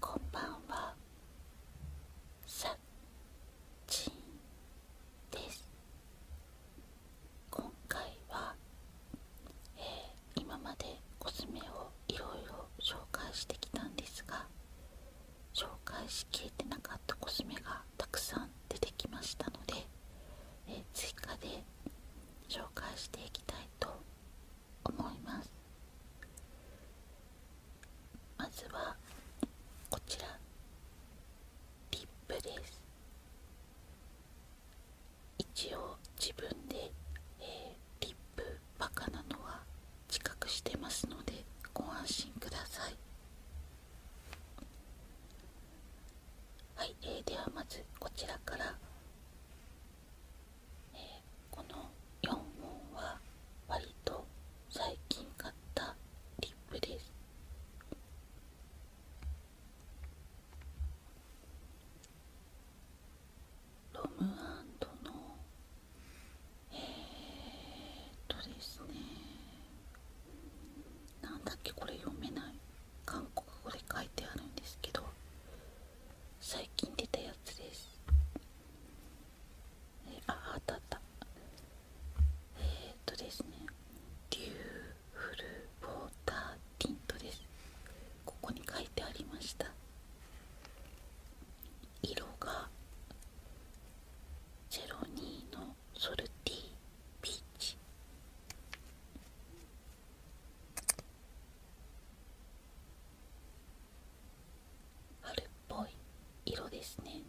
こんばんはさちんです今回は、え今までコスメをいろいろ紹介してきたんですが紹介しきれてなかったコスメがたくさん出てきましたのでえ追加で紹介していきたいと思いますまずはこちらリップです一応自分で、えリップバカなのは自覚してますのでご安心くださいはい、えー、ではまずこちらから、えー、この4本は割と最近買ったリップですロムアンドのえー、っとですねなんだっけこれ読めない韓国語で書いてあるんですけど最近出たやつですえああったあったえっとですねデューフルウォーターティントですここに書いてありました色が02のソルティーピーチ春っぽい色ですね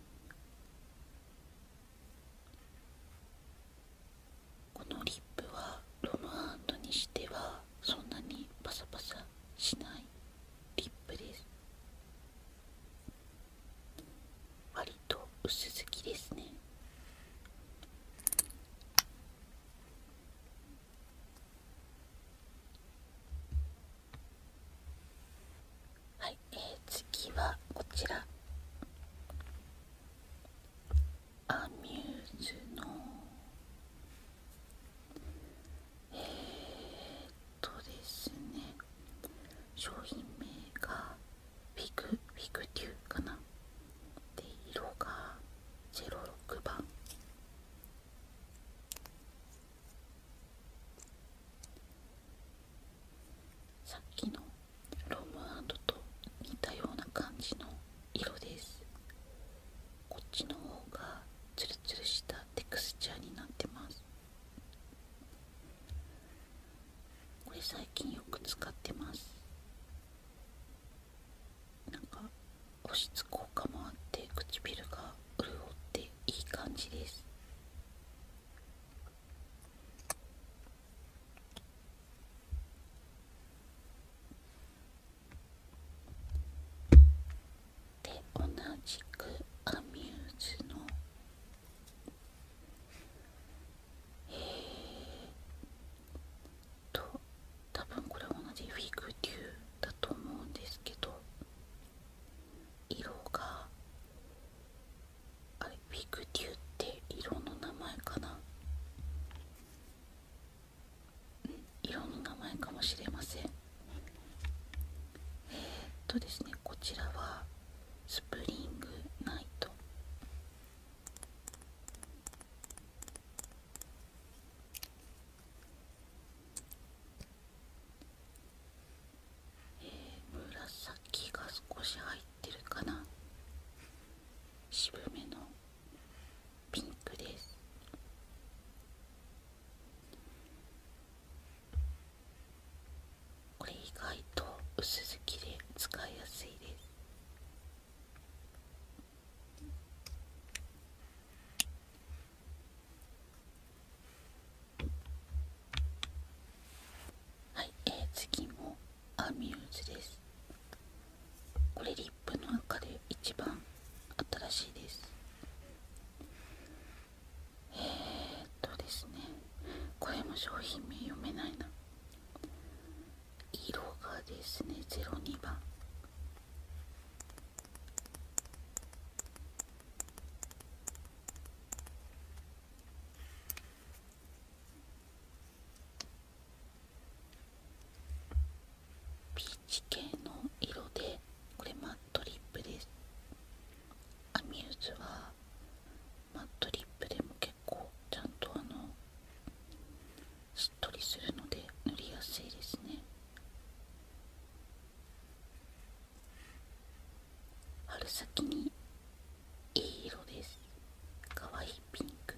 このリップはロムアンドにしてはそんなにパサパサしないリップですわりと薄付きですねはい、えー、次はこちらアミューズのえー、っとですね商品名がフィグフィグデューかなで色が06番さっきのロムアンドと似たような感じの色ですこっちの方がツルツルしたテクスチャーになってますこれ最近よく使ってますなんか保湿効果もあって唇が潤っていい感じですで同じくアミューズのえー、と多分これは同じフィグデューだと思うんですけど色があれフィグデューって色の名前かな色の名前かもしれませんえっとですねこちらはスプリングナイトえ紫が少し入ってるかな渋めのピンクですこれ意外と薄付きで使いやすいですはい、え次もアミューズですこれリップの中で一番新しいですえっとですねこれも商品名読めないな色がですね02番ピーチ系の色でこれマットリップですアミューズはマットリップでも結構ちゃんとあのしっとりするので塗りやすいですね春先にいい色ですかわいいピンク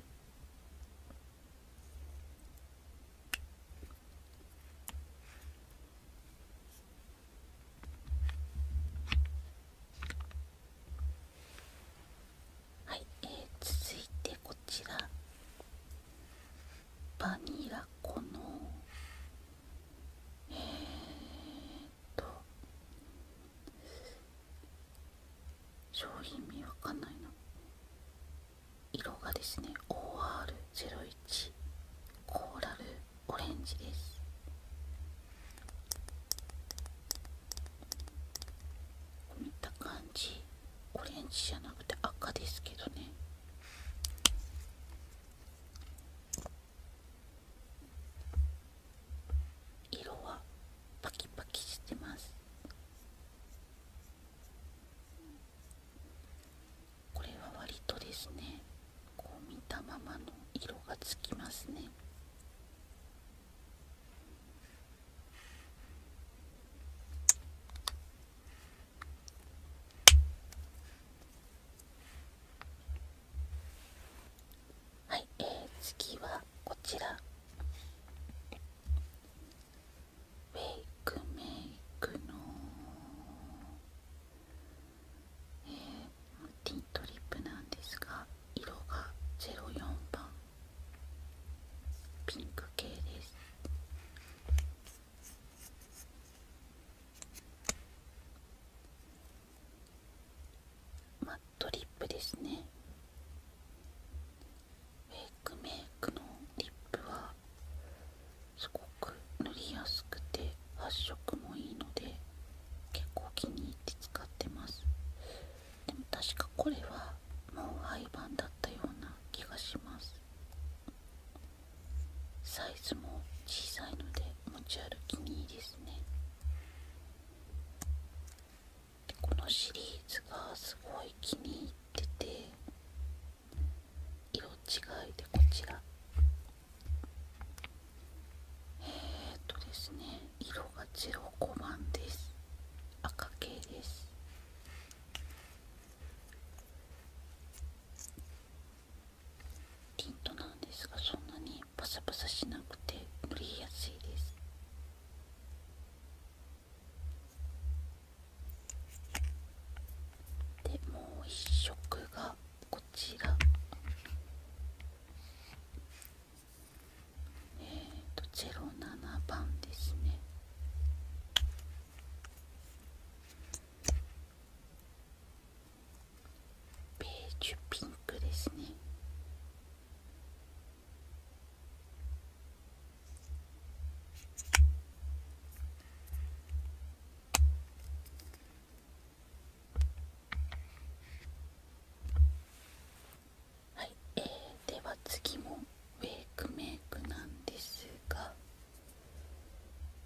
はい、え続いてこちらバニラ粉のえー、っと商品見わかんないな色がですね OR01 コーラルオレンジです見た感じオレンジじゃなくて赤ですけどね色はパキパキしてますこれは割とですねこう見たままの色がつきますねはい、え次はこちらウェイクメイクのえー、ティントリップなんですが色が04番ピンク系ですマットリップですねウェイクメイクのリップはすごく塗りやすくて発色もいいので結構気に入って使ってますでも確かこれはもう廃盤だったような気がしますサイズも小さいので持ち歩きにいいですねでこのシリーズがすごい気に入ってて色違いでこちらえっとですね色が05番です赤系ですティントなんですがそんなにパサパサしなくて塗りやすいですでもう一色がこちらえーとロ七番ですねベージュピンクですねはい、えでは次もウェイクメイクなんですが、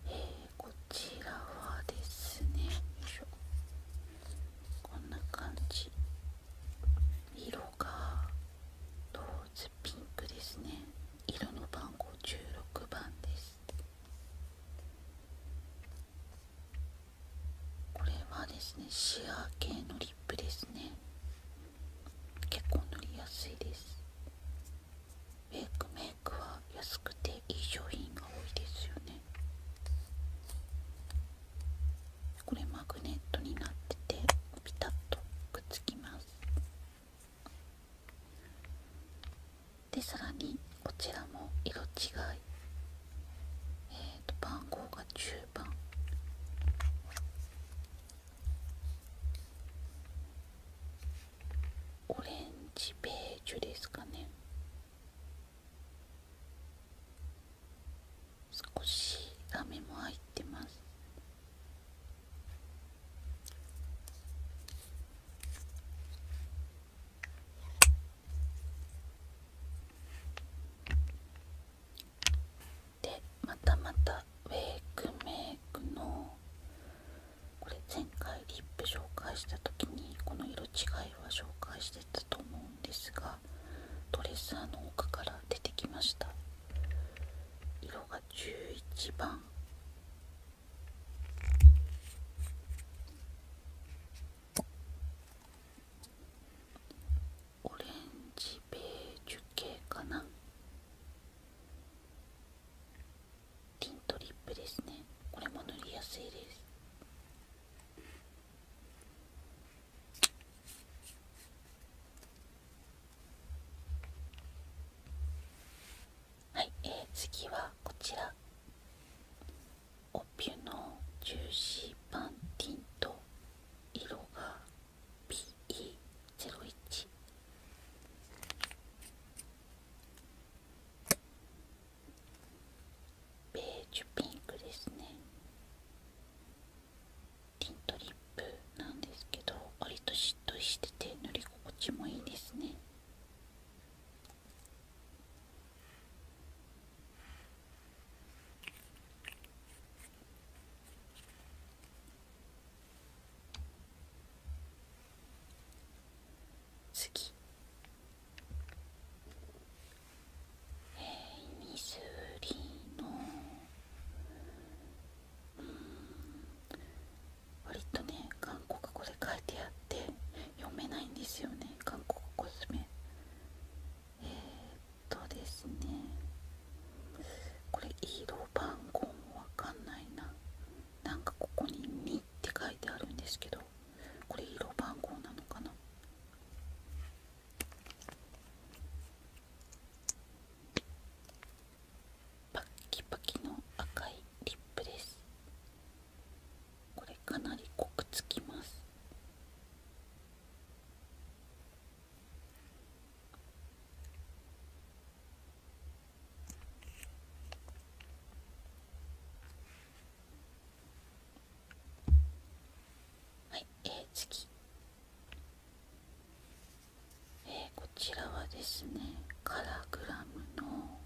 えこちらはですねこんな感じ色がローズピンクですね色の番号16番ですこれはですねシアー系のリップですね結構塗りやすいですフェイクメイクは安くていい商品が多いですよねこれマグネットになっててピタッとくっつきますでさらにこちらも色違いえっ、と番号が10番オレンジベージュですかね少しラメも入ってますでまたまたウェイクメイクのこれ前回リップ紹介した時にこの色違いは紹介してたと思うんですがドレッサーの奥から出てきました色が11番オレンジベージュ系かなティントリップですねこれも塗りやすいですはい、え次はこちらオピュのジューシーパンティント色が PE01 ベージュピンクですねティントリップなんですけど割としっとりしてて塗り心地もいいですね次えー、ミスリのうん割とね韓国語で書いてあって読めないんですよね韓国コスメ。えっとですねこれ色番号もわかんないななんかここに「2」って書いてあるんですけどこれ色番号なのかなパッキパキの赤いリップですこれかなり濃くつきますはい、えー、次、えー、こちらはですねカラグラムの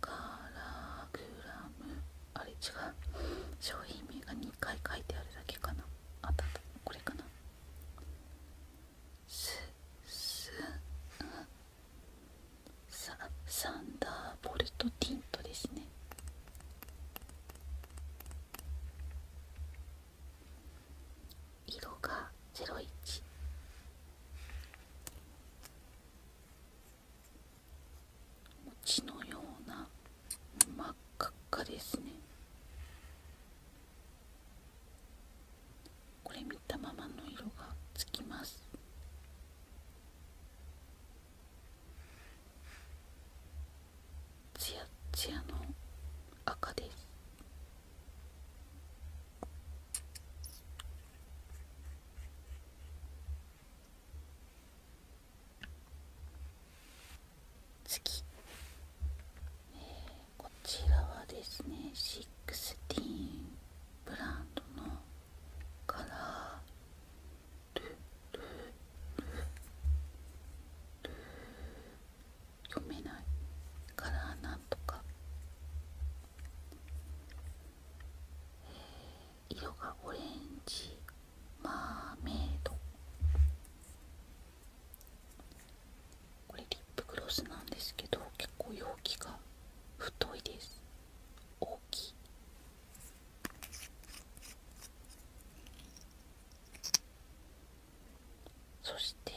カラグラムあれ違う商品名が2回書いてあるだけかなあったたこれかなすすササンダーボルトティントですね色が01餅のような真っ赤っかですねこれ見たままの色がつきますツヤツヤの赤です次、えこちらはですねシックスティーンブランドのカラールルルル読めないカラーなんとか、え色がオレンジマーメイドこれリップクロスなんですけど結構容器が太いです大きいそして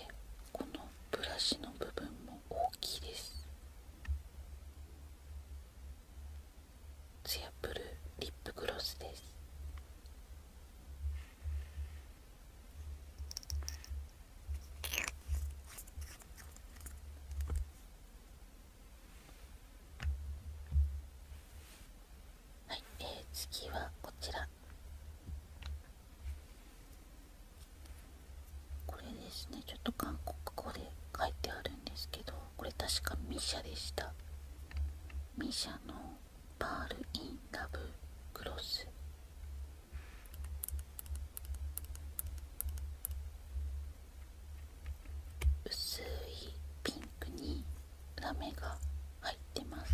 このブラシの部分も大きいですツヤブルリップグロスですはい、次はこちらこれですねちょっと韓国語で書いてあるんですけどこれ確かミシャでしたミシャのパール・イン・ラブ・クロス薄いピンクにラメが入ってます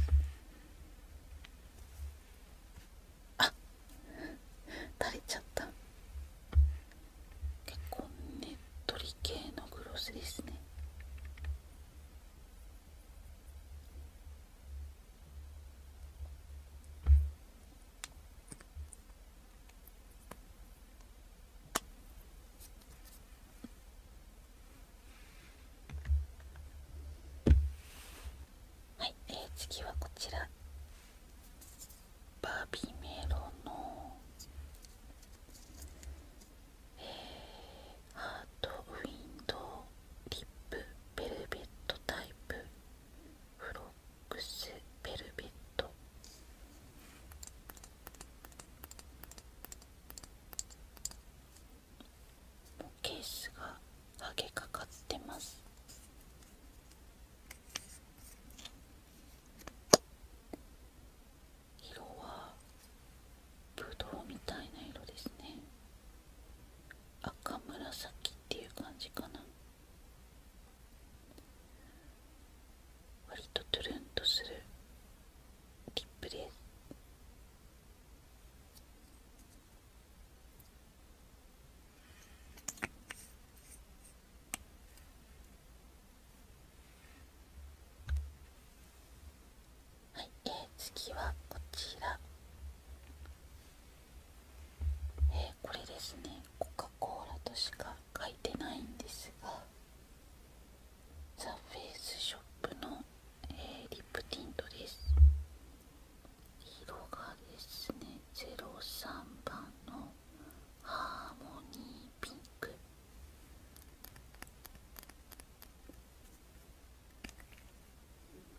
あ垂れちゃった結構ねっとり系のグロスですねはい、え次はこちらバビメロの、えー、ハートウィンドリップベルベットタイプフロックスベルベットケースがはげかかってます色はブドウみたいな色ですね赤紫っていう感じかな割とトゥルンとするリップですはい、えー、次はこちらえこれですねコカ・コーラとしか書いてないんですがザ・フェイスショップの、えリップティントです色がですね03番のハーモニーピンク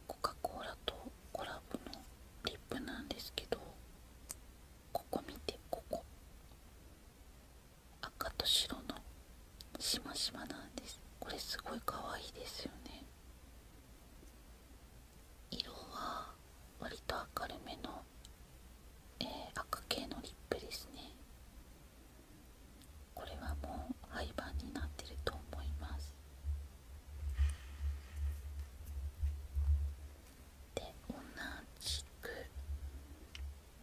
コカ・コーラとコラボのリップなんですけどここ見てここ赤と白のしましまなんですこれすごい可愛いですよね色はわりと明るめのの、え赤系のリップですねこれはもう廃盤になってると思いますで同じく、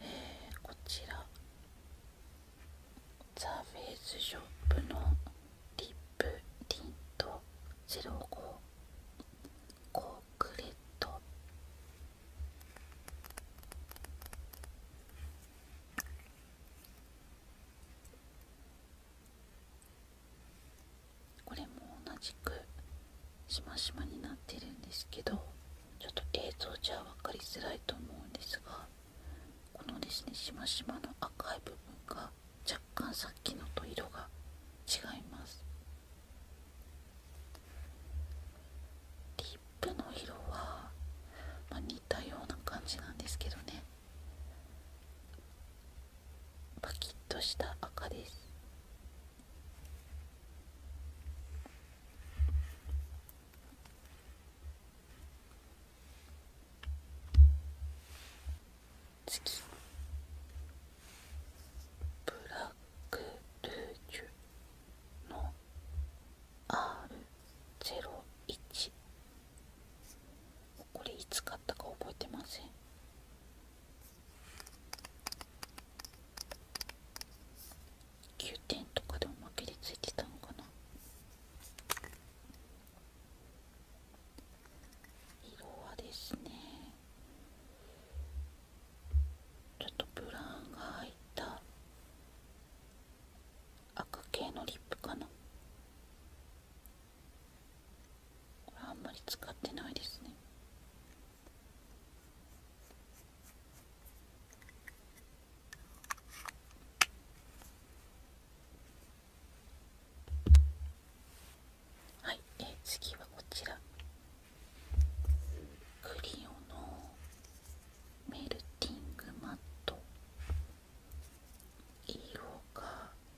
えー、こちらザ・フェイスショップのリップティント05コークレットこれも同じくしましまになってるんですけどちょっと映像じゃ分かりづらいと思うんですがこのですねしましまの赤い部分が若干さっきのと色が違いますリップの色は、似たような感じなんですけどねパキッとした赤です次ブラクルージュの R01 これいつ買ったか覚えてません9点とかでおまけでついてたのかな色はですねちょっとブラウンが入った赤系のリップかなこれあんまり使ってないですねはい、え次はこちらクリオのメルティングマット色が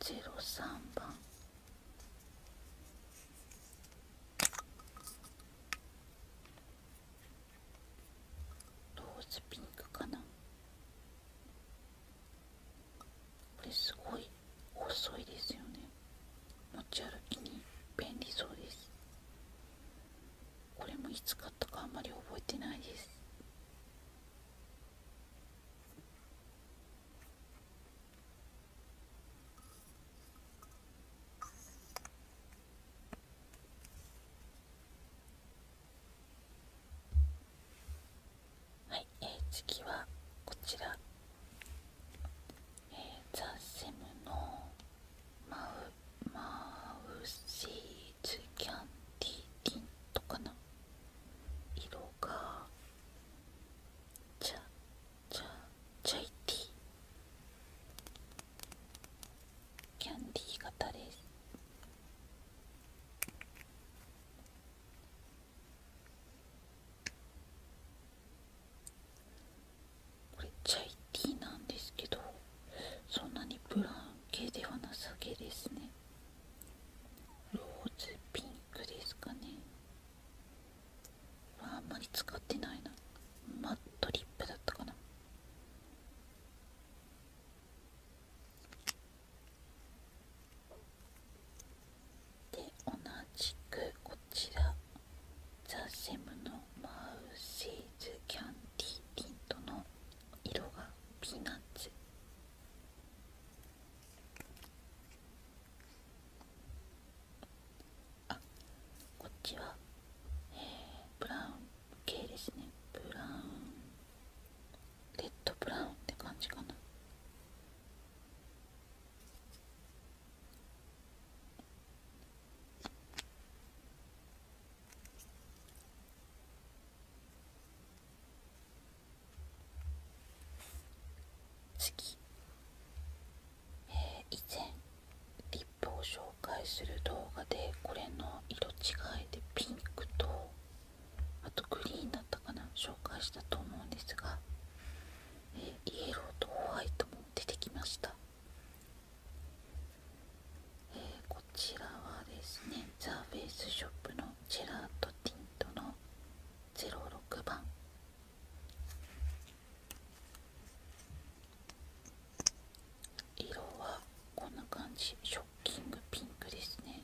03番ローズピンクかなこれすごい細いですよね持ち歩きに便利そうですこれもいつ買ったかあんまり覚えてないですはい、次はこちらえー、ザ・セムのマウマウシーズキャンディティントかな色がチャチャチャイティキャンディー型ですこれチャイティなんですけどそんなにブラン系ではなさげですねローズピンクですかねあんまり使ってないなマットリップだったかなで同じくこちらザ・セムのマウシーズキャンディティントの色がピーナッツあこっちは、えー、ブラウン系ですねブラウンレッドブラウンって感じかな次、え以前リップを紹介する動画でこれの色違いでピンクとあとグリーンだったかな紹介したと思うんですが、えイエローとホワイトも出てきましたえー、こちらはですねザ・フェイスショップのジェラートティントの06番色はこんな感じショッキングピンクですね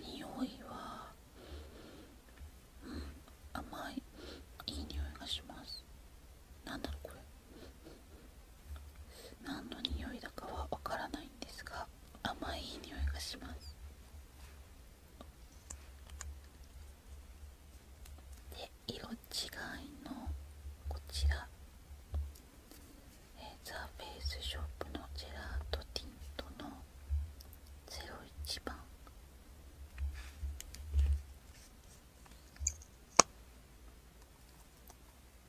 匂いはうん甘いいい匂いがします何んだろうこれ何の匂いだかは分からないんですが甘いいい匂いがしますで色違いのこちらえー、ザ・フェイスショップのジェラートティントの01番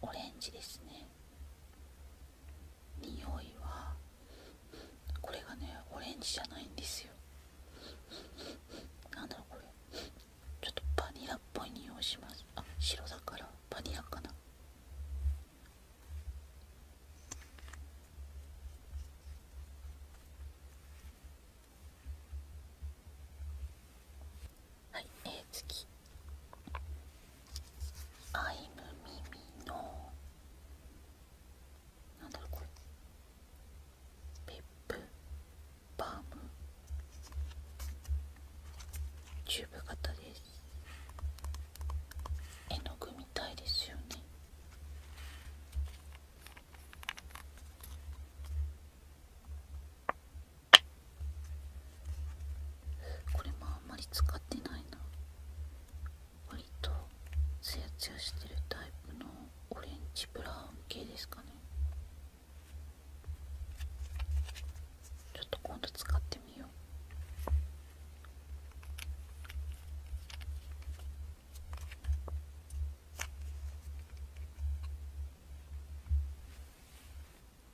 オレンジですね匂いはこれがねオレンジじゃないんですよ何だろうこれちょっとバニラっぽい匂いしますあ白だからバニラかなはい、えー、次アイムミミのなんだろうこれペップバームチューブ型です絵の具みたいですよねこれもあんまり使ってないな割とツヤツヤしてるタイプのオレンジブラウン系ですかねちょっと今度使ってみよう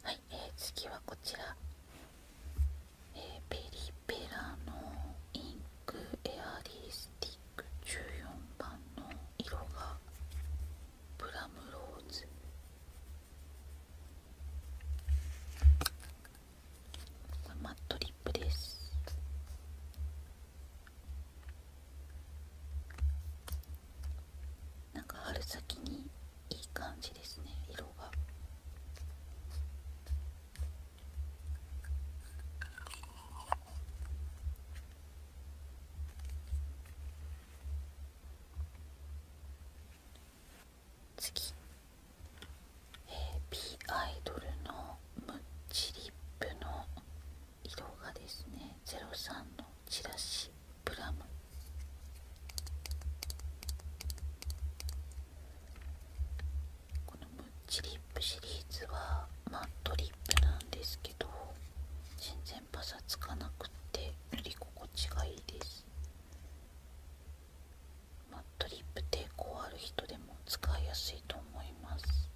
はい、え次はこちら、えペリペラのインクエアリースティック14番の色がブラムローズマットリップですなんか春先にいい感じですね色が。次えー、B アイドルのムッチリップの色がですね03のチラシプラムこのムッチリップシリーズはマットリップなんですけど全然パサつかなくて塗り心地がいいですマットリップ抵抗ある人でも使いやすいと思います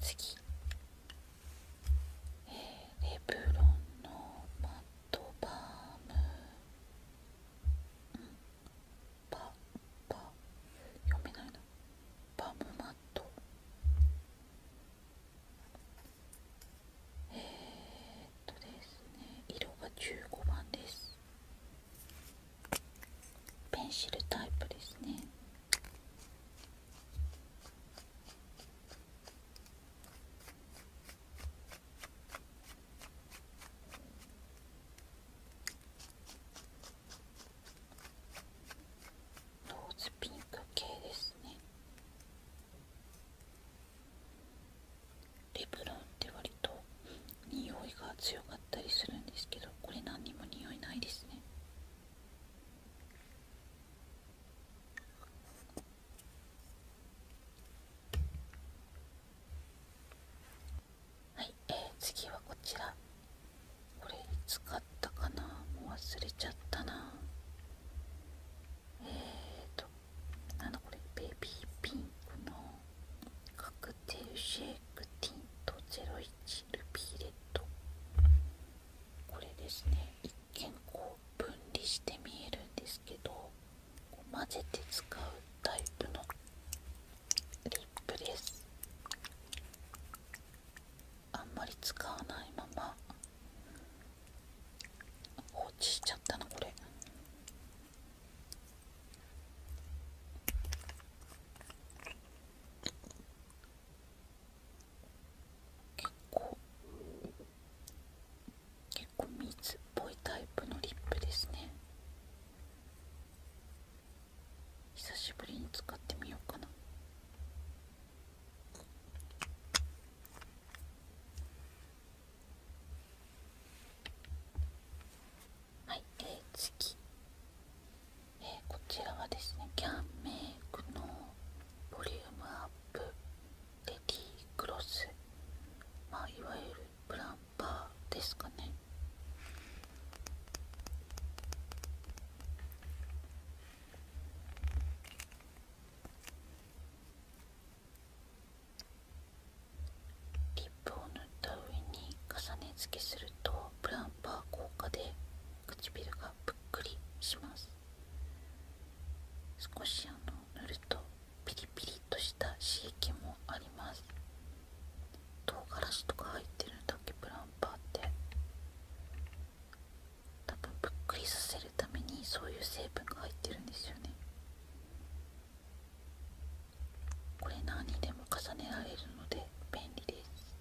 次、えー、レブロンのマットバーム、パパ読めないなパムマットえっとですね色が15番ですペンシルタイプですねローズピンク系ですねレブロンって割と匂いが強かったりするんですけどこれ何にも匂いないですねはい、えー、次はこちらこれ使ったかなもう忘れちゃったなえーとなんだこれベビーピンクのカクテルシェイクティント01ルビーレッドこれですね一見こう分離して見えるんですけど混ぜて使うタイプのリップですあんまり使わないまま放置しちゃったの、これ結構結構水っぽいタイプのリップですね久しぶりに使ってみようかなはいえー、次、えー、こちらはですねキャンメイクのボリュームアップレディークロスまあいわゆるプランパーですかねリップを塗った上に重ね付けするとブランパー効果で唇がぷっくりします少しあの塗るとピリピリとした刺激もあります唐辛子とか入ってるんだっけプランパーって多分ぷっくりさせるためにそういう成分が入ってるんですよねこれ何にでも重ねられるので便利です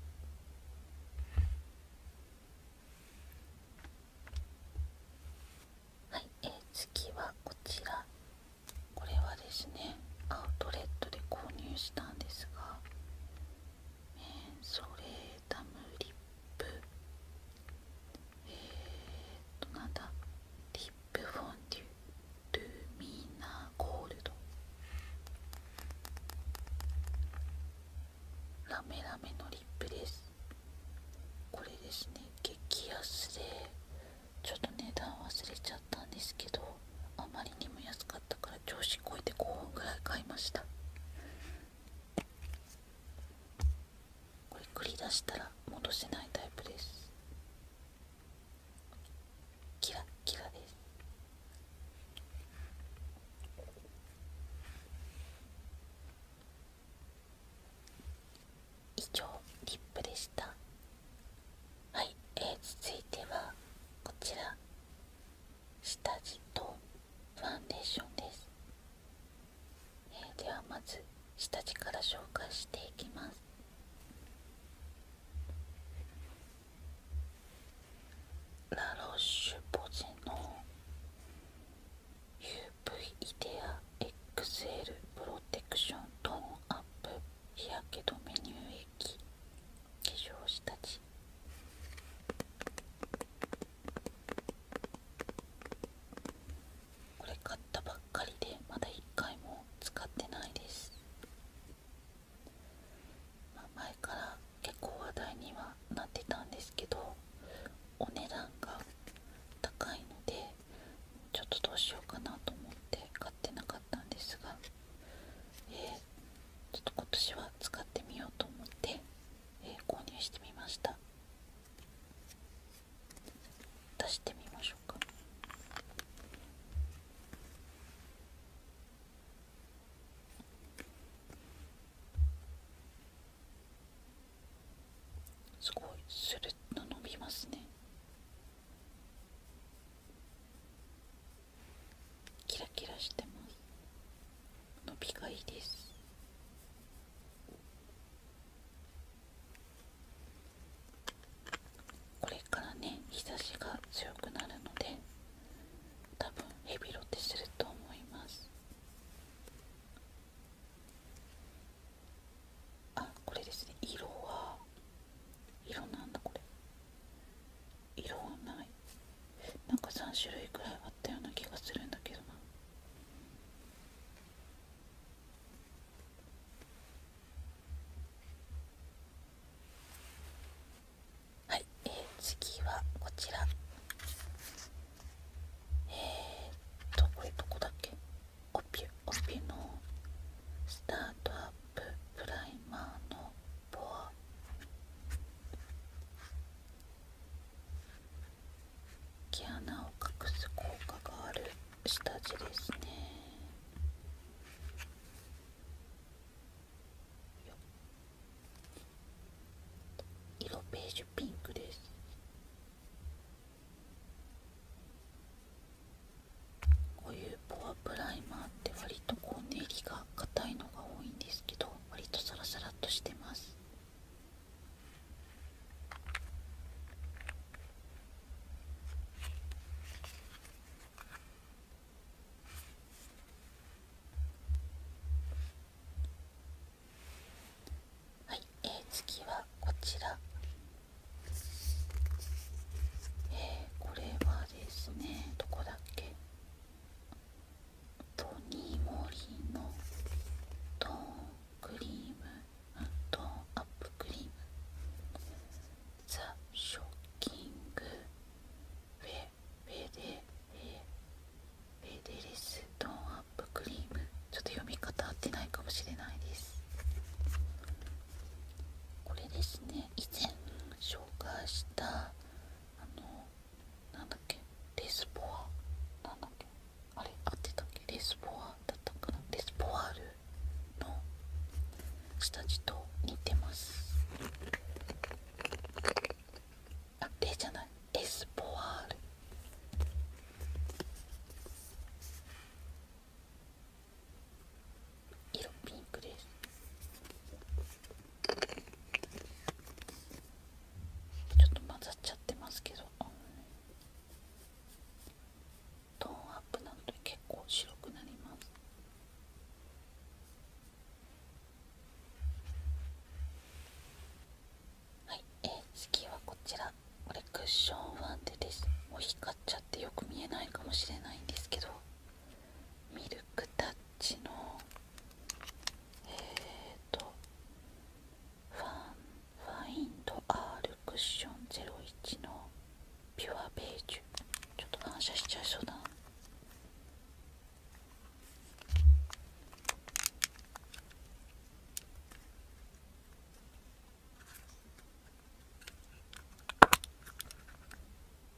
はい、えー、次はこちらこれはですねアウトレットで購入したんですがメンソレータムリップえー、っとなんだリップフォンデュルミナゴールドラメラメのリップですこれですね激安でちょっと値段忘れちゃったんですけどあまりにも安かったから調子こいて5本ぐらい買いましたこれ繰り出したら戻せないタイプですキラッキラです以上リップでしたはい、えー、続いてはこちら下地とファンデーションです、えー、ではまず下地から紹介していきますラロッシュポジの UV イデア XL プロテクショントーンアップ日焼け止め乳液化粧下地これ買ったばっかりでまだ1回も使ってないです、前から結構話題にはなってたんですけどお値段が高いのでちょっとどうしようかなと思って買ってなかったんですがえー、ちょっと今年は使ってみようと思って、えー、購入してみました出してみましょうかすごいスルッと伸びますねキラキラしてます伸びがいいですこれからね日差しが強くなるので多分ヘビロテすると思いますあこれですね色は色なんだこれ色はないなんか3種類くらいあったような気がするんだけどなはい、え次はこちらえっとこれどこだっけオピュオピュのスタートアッププライマーのボア毛穴を隠す効果がある下地ですね色ベージュピンクですこういうポアプライマーって割とこう練りが硬いのが多いんですけど割とサラサラっとしてますはい、次はこちらえこれはですねどこだっけとにもりのトーンクリームあトーンアップクリームザ・ショッキングフェフェデフェデレストーンアップクリームちょっと読み方合ってないかもしれないですこれですね以前紹介したあのなんだっけレスポアなんだっけあれ合ってたっけレスポアだったかなレスポアールの下地と似てますあレじゃないレスポアール色ピンクですちょっと混ざっちゃってますけど、トーンアップなんと結構白くなりますはい、え次はこちらこれクッションファンデですも光っちゃってよく見えないかもしれないんですけどミルクタッチのえっ、とファンファインドアールクッション01のピュアベージュちょっと反射しちゃいそうだな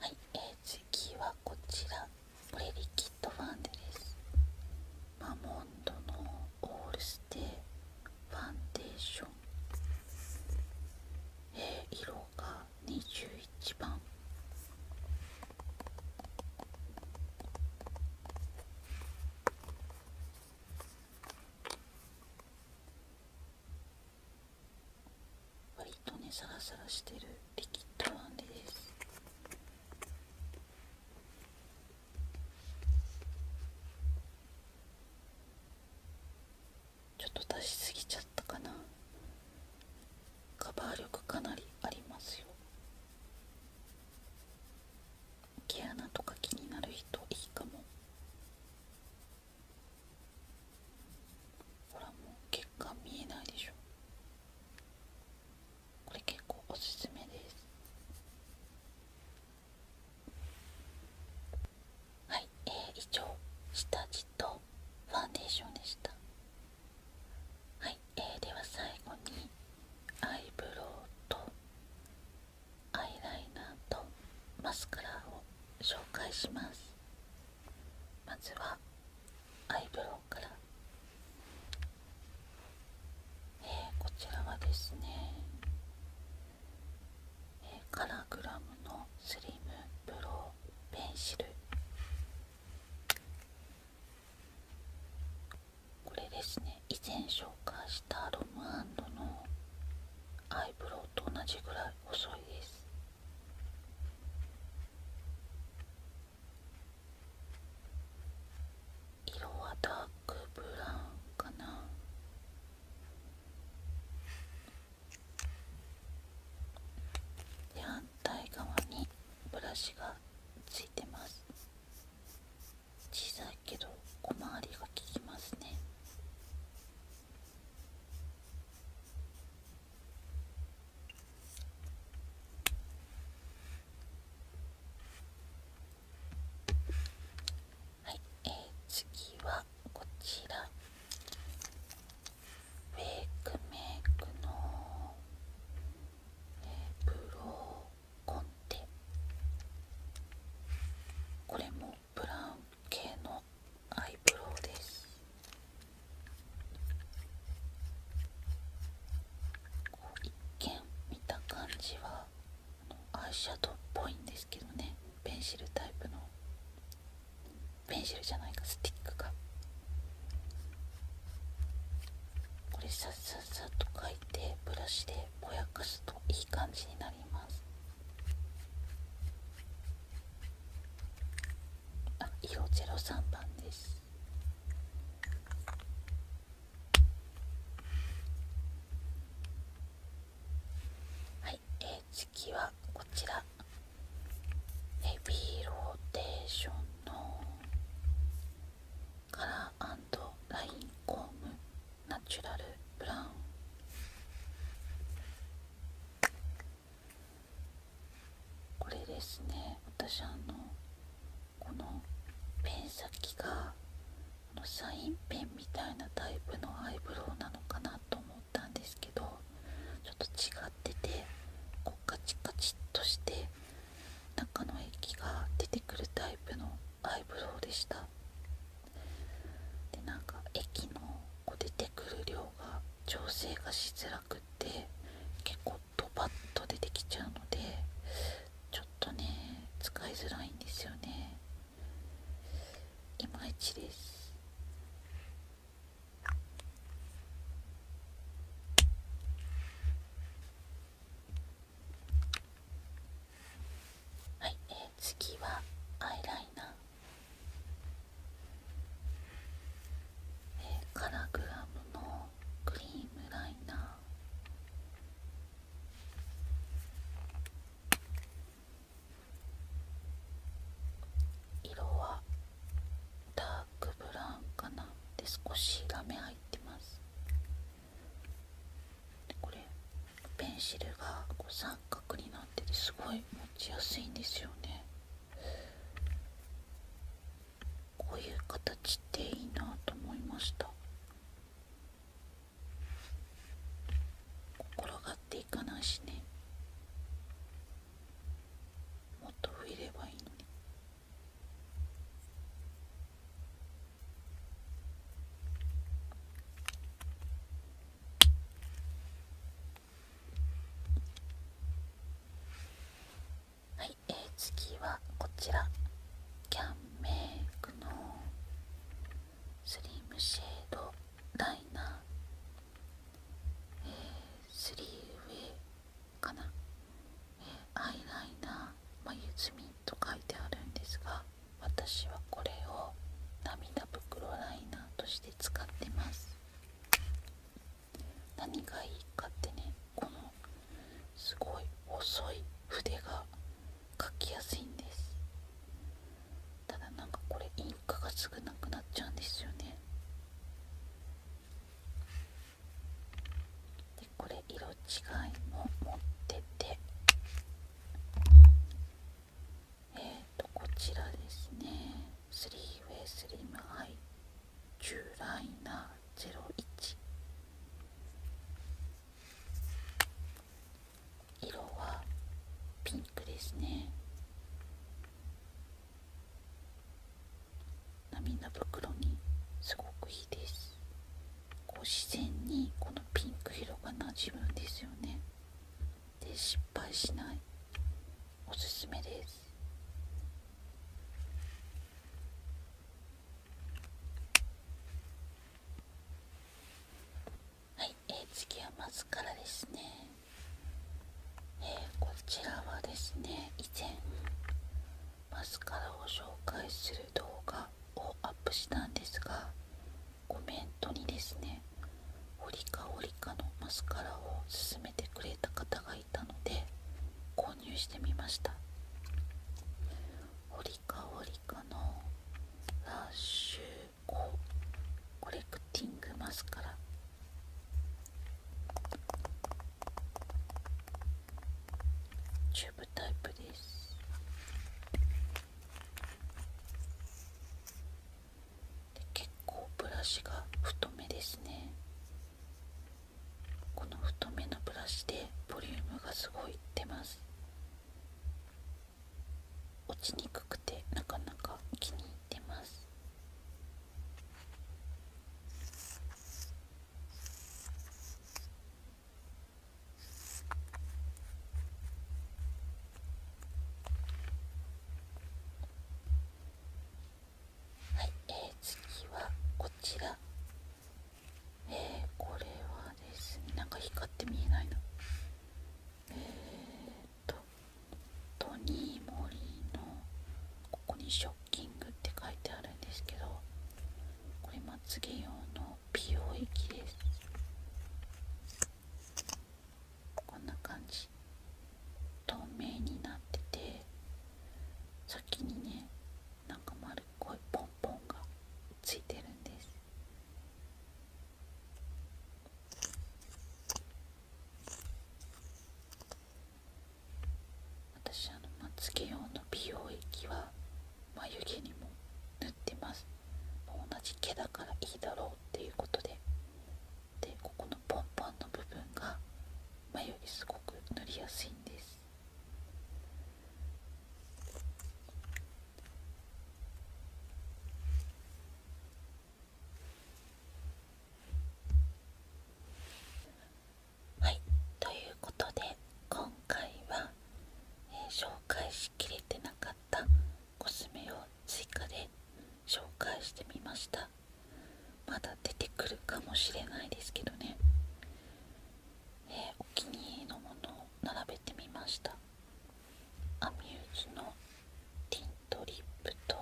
はい、え次はこちらこリキッドファンデですマモンドのオールステーファンデーション、え色が21番割とねサラサラしてるリキッドフンデですちょっと出しすぎちゃったかなカバー力かなりありますよ毛穴とか気になる人いいかもほらもう血管見えないでしょこれ結構おすすめですはい、えー、以上下地とファンデーションでしたはい、えでは最後にアイブロウとアイライナーとマスカラを紹介しますまずはアイブロウから、えこちらはですね、えカラグラムのスリムブロウペンシルこれですね以前紹介したロムアンドのアイブロウと同じぐらい細いです色はダークブラウンかなで反対側にブラシがついてます小さいけど小回りが効きますねはい、え次はこちらウェイクメイクの、えー、ブローこれもブラウン系のアイブロウです一見見た感じはアイシャドウっぽいんですけどねペンシルタイプのペンシルじゃないかスティックがこれさっさっさと描いて。いブラシでぼやかすといい感じになりますあ色03番ですはい、次はこちらベビーローテーションのカラーラインコームナチュラルブラウンこれですね私あのこのペン先がこのサインペンみたいなタイプのアイブロウなのかなと思ったんですけどちょっと違っててこうカチカチっとして中の液が出てくるタイプのアイブロウでしたでなんか液のこう出てくる量が調整がしづらくって結構ドバッと出てきちゃうのでちょっとね使いづらいんですよねいまいちですはい、え次はアイライナー、えー、カラグラムのクリームライナー色はダークブラウンかなで少しラメ入ってます。これペンシルがこう三角になっててすごい持ちやすいんですよねこういう形っていいなと思いました転がっていかないしねもっと増えればいいのに。はい、え次はこちらキャンメイクのスリムシェードライナー、えー、スリーウェイかなアイライナー、まゆずみんと書いてあるんですが私はこれを涙袋ライナーとして使ってます何がいいかってねこのすごい細い筆が描きやすいんですただなんかこれインクがすぐなくなっちゃうんですよねでこれ色違いも持っててえっ、とこちらですねスリーウェイスリムアイチュライナー01色はピンクですね涙袋にすごくいいです。こう自然にこのピンク色がなじむんですよねで失敗しないおすすめですはい、次はマスカラですね、えー、こちらはですね以前マスカラを紹介する動画画をアップしたんですがコメントにですねホリカホリカのマスカラを勧めてくれた方がいたので購入してみましたホリカホリカのラッシュココレクティングマスカラチューブタイプです結構ブラシが太めですねこの太めのブラシでボリュームがすごいってます落ちにくくてなかなか気に入ってますはい、え次はこちらえこれはですねなんか光って見えないなえっとトニー・モリーのここにショッキングって書いてあるんですけどこれまつげ用の美容液ですこんな感じ透明になってて先にねなんか丸っこいポンポンがついてるんです私あのまつけ用の美容液は眉毛にも塗ってます同じ毛だからいいだろうっていうことででここのポンポンの部分が眉毛すごく塗りやすいんですはいということで今回は、え紹介しきれてなかったコスメを追加で紹介してみましたまだ出てくるかもしれないですけどね、えお気に入りのものを並べてみましたアミューズのティントリップと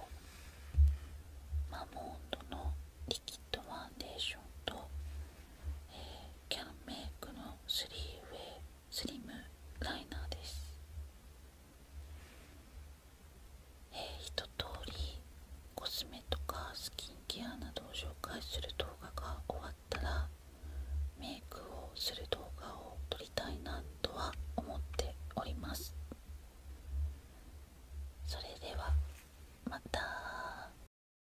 マモンドのリキッドファンデーションとキャンメイクのスリーウェイスリムライナーですえー、一通りコスメとかスキンケアなどを紹介する動画が終わったらメイクをする動画を撮りたいなとは思っておりますそれではまた